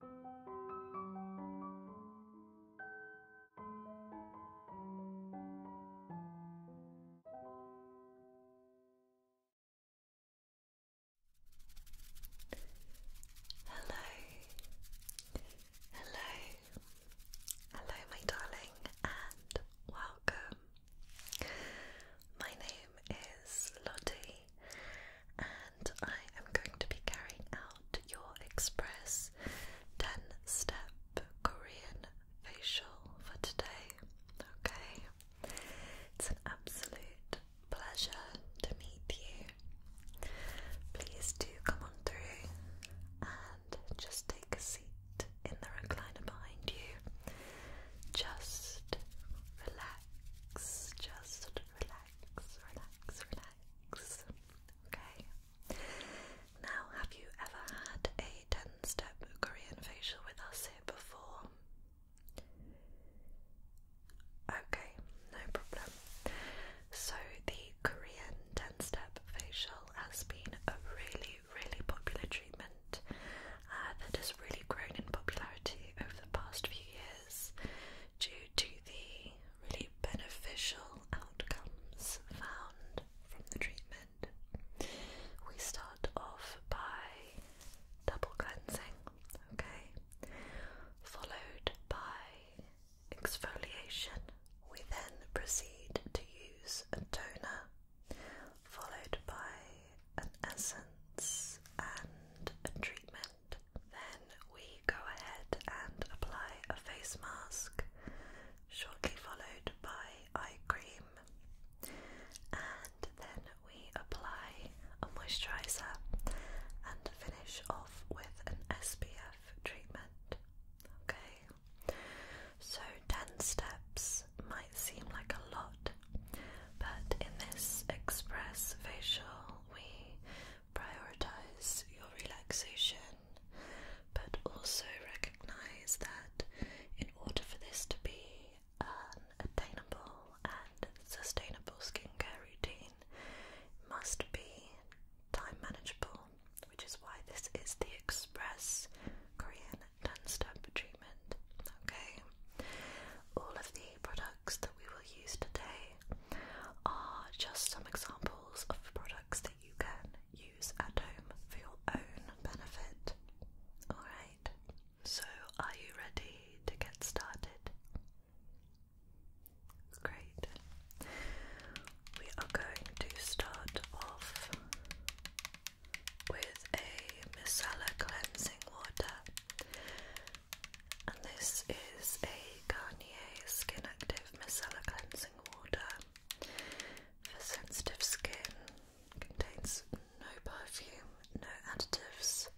Hello, hello, hello, my darling, and welcome. My name is Lottie, and I am going to be carrying out your express 10 step Korean facial for today. Okay, it's an absolute pleasure to meet you. Please do come on through and just take a seat in the recliner behind you. Just relax, just relax relax, relax, relax. Okay. Now, have you ever had a 10 step Korean facial with us here before? Okay, no problem. So, the Korean 10 step facial has been a really, really popular treatment uh, that has really grown in popularity over the past few years due to the really beneficial outcomes found from the treatment. We start off by double cleansing, okay, followed by exfoliation. We then proceed to use a toner, followed by an essence and a treatment then we go ahead and apply a face mask, shortly followed by eye cream, and then we apply a moisturizer and finish off with an SPF treatment. Okay, so 10 steps might seem like a lot but in this express facial, we prioritize your relaxation, but also recognize that in order for this to be an attainable and sustainable skincare routine, must be time manageable, which is why this is the express Korean 10 step treatment. Okay, all of the products that we will use today are just some examples of products that you can use at home for your own benefit. Alright, so are you ready to get started? Great. We are going to start off with a micellar cleansing water. And this is a Garnier Skin Active Micellar Cleansing Water for sensitive skin. Contains no perfume, no additives,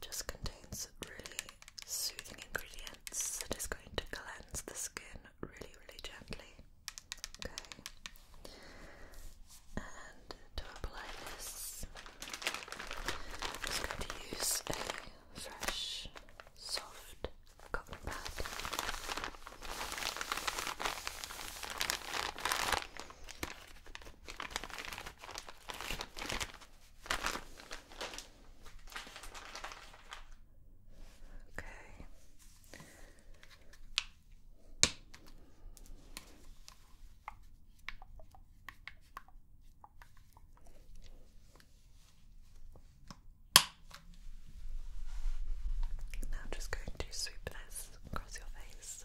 just contains really soothing ingredients It is going to cleanse the skin really, really gently. Okay to apply this, I'm going to use a fresh, soft cotton pad. Okay. Now i just going to sweep this across your face.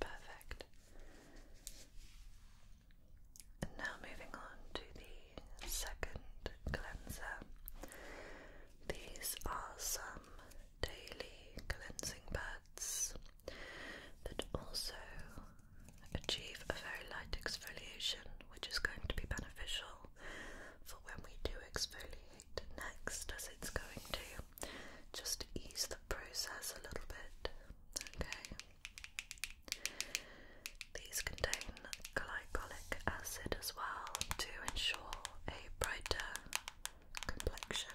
Perfect. now moving on to the second cleanser. These are some daily cleansing pads that also achieve a very light exfoliation, which is going to be beneficial for when we do exfoliate next, as it's going to just ease the process a little bit. Okay. These contain glycolic acid as well to ensure a brighter complexion.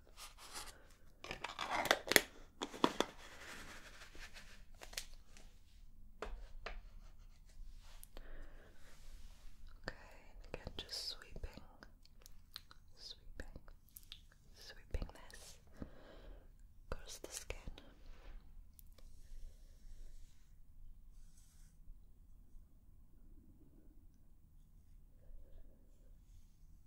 Okay, again, just sweeping, sweeping, sweeping this across the skin. Brilliant.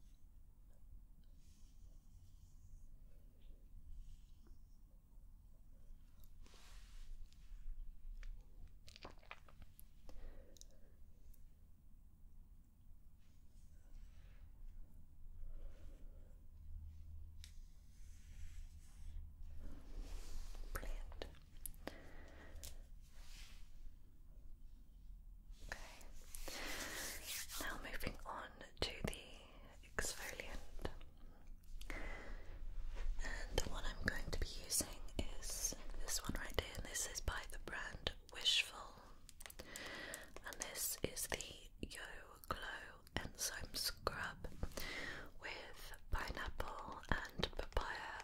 Now moving on to the exfoliant. And the one I'm going to be using is this one right here. And this is by the brand Wishful. And this is the Yo Glow Enzyme Scrub with pineapple and papaya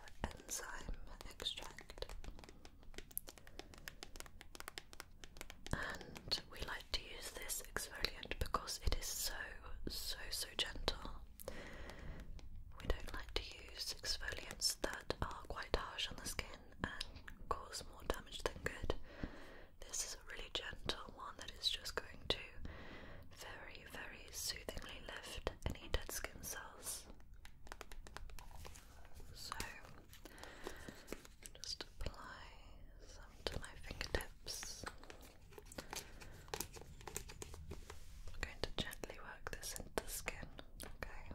enzyme extract. And we like to use this exfoliant because it is so, so, so gentle. We don't like to use exfoliants that are quite harsh on the skin and cause more damage than good. This is a really gentle one that is just going to very, very soothingly lift any dead skin cells. So just apply some to my fingertips. I'm going to gently work this into the skin, okay?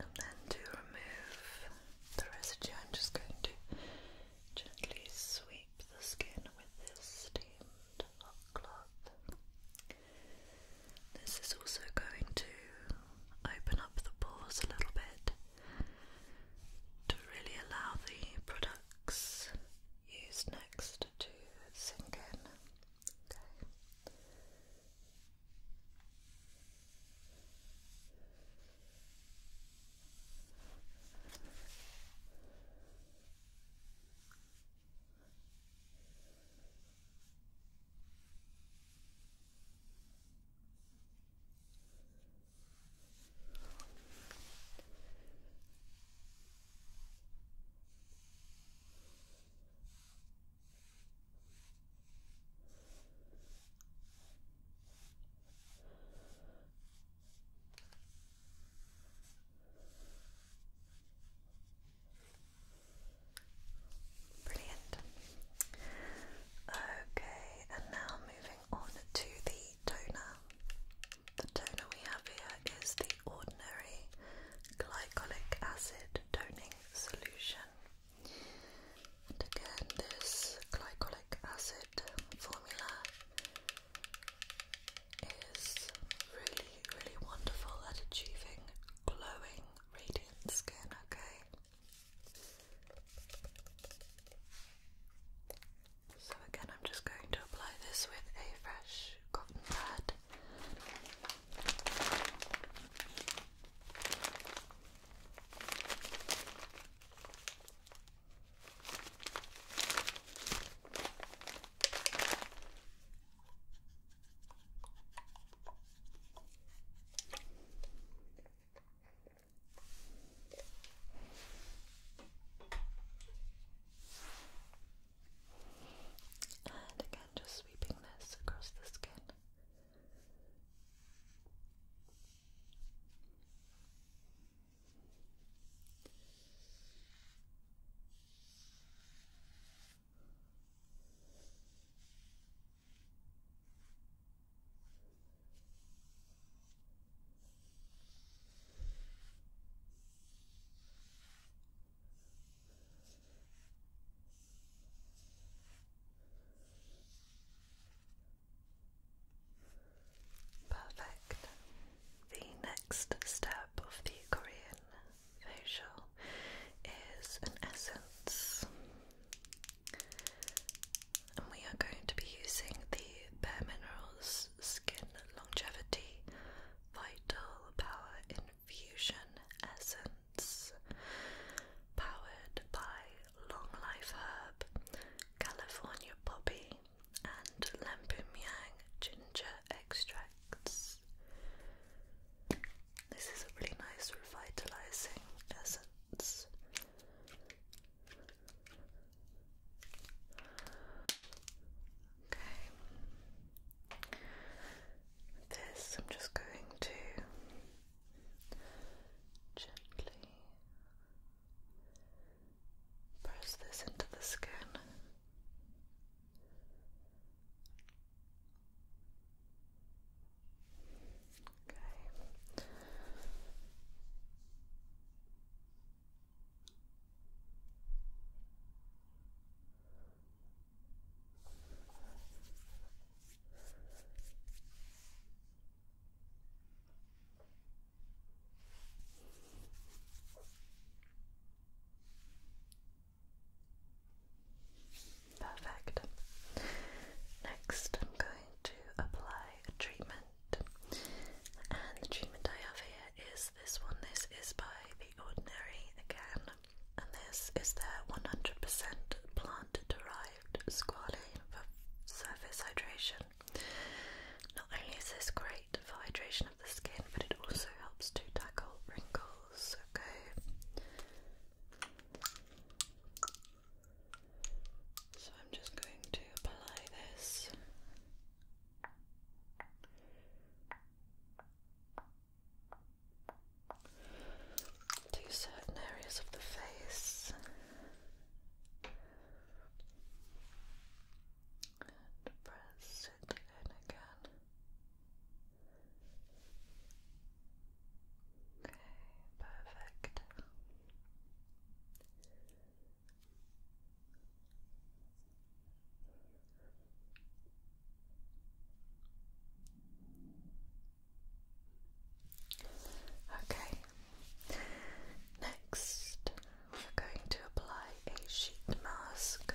And then to remove the residue, I'm just going to gently sweep the skin with this steamed hot cloth. This is also going to open up the pores a little bit to really allow the products used next to sink in. Brilliant. Okay, and now moving on to the toner. The toner we have here is the Ordinary Glycolic Acid Toning Solution. And again, this glycolic acid formula is really, really wonderful at achieving glowing, radiant skin, okay? So again, I'm just going to apply this with a fresh cotton pad. And again, just sweeping this across the skin. Perfect. The next step of the Korean facial is an essence. And we are going to be using the Bare Minerals Skin Longevity Vital Power Infusion Essence, powered by Long Life Herb, California Poppy, and Lampumiang Ginger Extracts. This is a really nice revitalizing essence. Okay. This I'm just going to gently press this into the skin. Okay. Perfect. Next, I'm going to apply a treatment. And the treatment I have here is this one. This is by The Ordinary again. And this is their 100% plant derived squalane for surface hydration. Not only is this great for hydration of the skin, but it also helps to tackle wrinkles. Okay. So I'm just going to apply this. To certain areas of the face, and press it in again. Okay, perfect. Okay, next we're going to apply a sheet mask.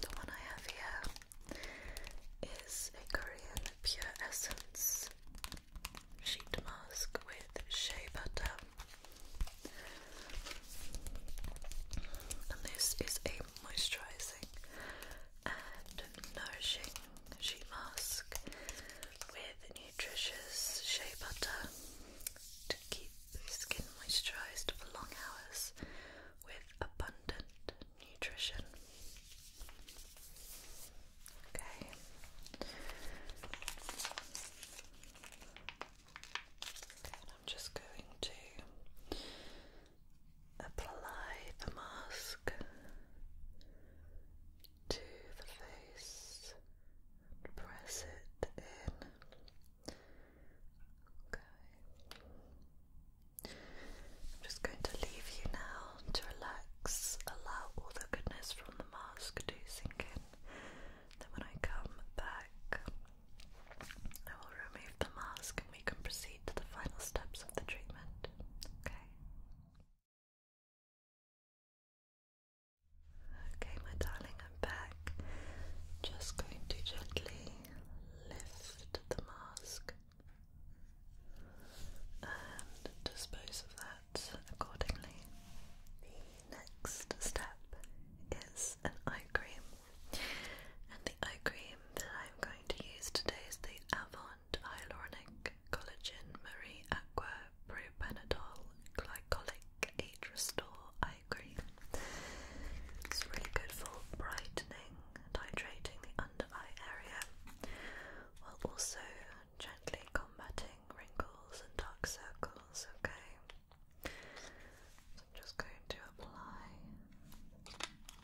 The one I have here is a Korean Pure Essence sheet mask with shea butter. And this is a moisturizing and nourishing sheet mask with nutritious shea butter to keep the skin moisturized for long hours with abundant nutrition. Okay. I'm just going to apply the mask to the face press it in. Okay. I'm just going to leave you now to relax, allow all the goodness from the mask to sink in. Then, when I come back, I will remove the mask and we can proceed to the final steps of the treatment. Okay? Okay, my darling, I'm back. Just going to gently lift the mask and dispose of that accordingly. The next step is an eye cream, and the eye cream that I'm going to use today is the Avant Hyaluronic Collagen Marie Aqua Propanadol Glycolic Age Restore Eye Cream. It's really good for brightening hydrating the under eye area while also gently combating wrinkles and dark circles, okay? So I'm just going to apply a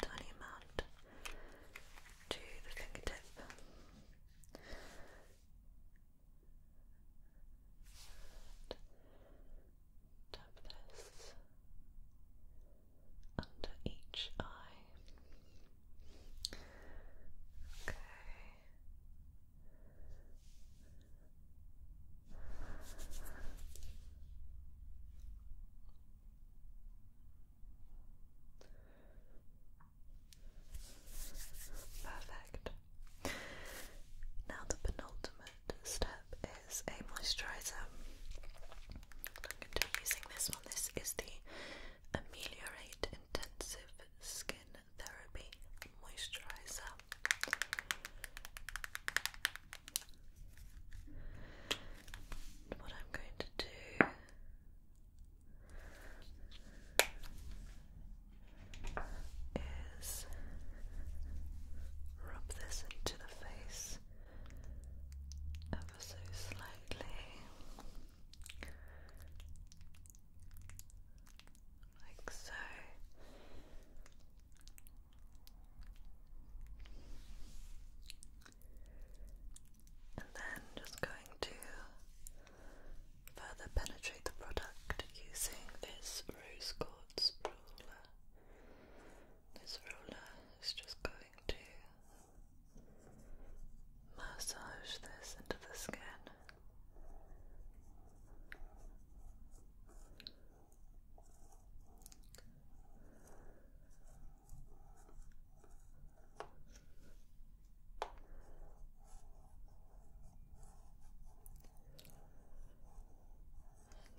tiny amount to the fingertip tap this under each eye. Okay. Perfect. Now the penultimate step is a moisturizer. I'm going to be using this one. This is the Ameliorate Intensive Skin Therapy Moisturizer. what I'm going to do. Is rub this into face ever so slightly, like so. And then just going to further penetrate the product using this rose quartz ruler. This roller is just going to massage this into the skin.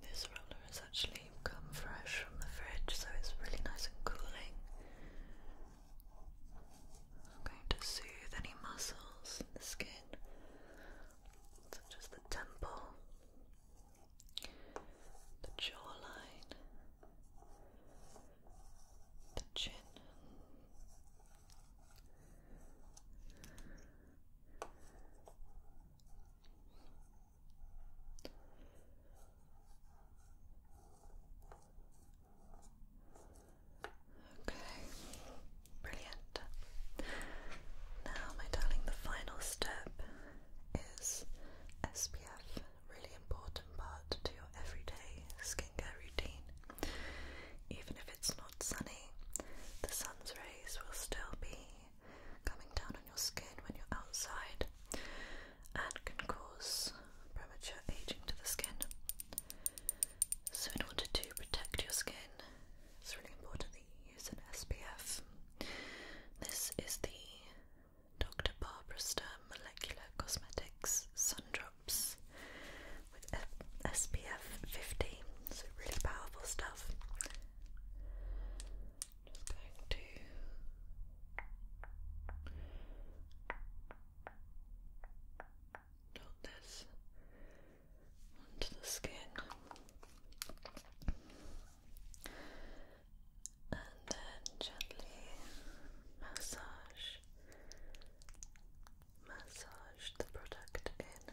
This roller has actually come fresh from the fridge, so it's really nice and cooling. I'm going to soothe any muscles in the skin, such as the temple, the jawline, the chin. Okay, brilliant. Now, my darling, the final step is SPF, really important part to your everyday skincare routine. Even if it's not sunny, the sun's rays will still be coming down on your skin when you're outside and can cause premature aging to the skin. So, in order to protect your skin, it's really important that you use an SPF. This is the Dr. Barbara Sturm Molecular Cosmetics Sun Drops with SPF 50, so really powerful stuff. Just going to dot this onto the skin. And then gently massage, massage the product in.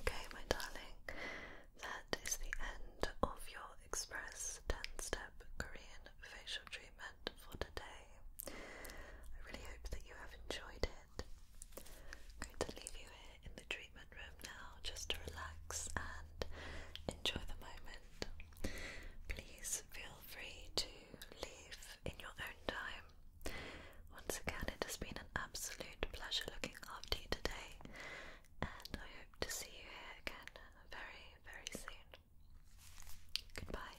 Okay, my darling, that is the end of your express 10 step Korean facial treatment for today. I really hope that you have enjoyed it. going to leave you in the treatment room now just to relax and enjoy the moment. Please feel free to leave in your own time. Once again, it has been an absolute pleasure looking after you today, and I hope to see you here again very, very soon. Goodbye.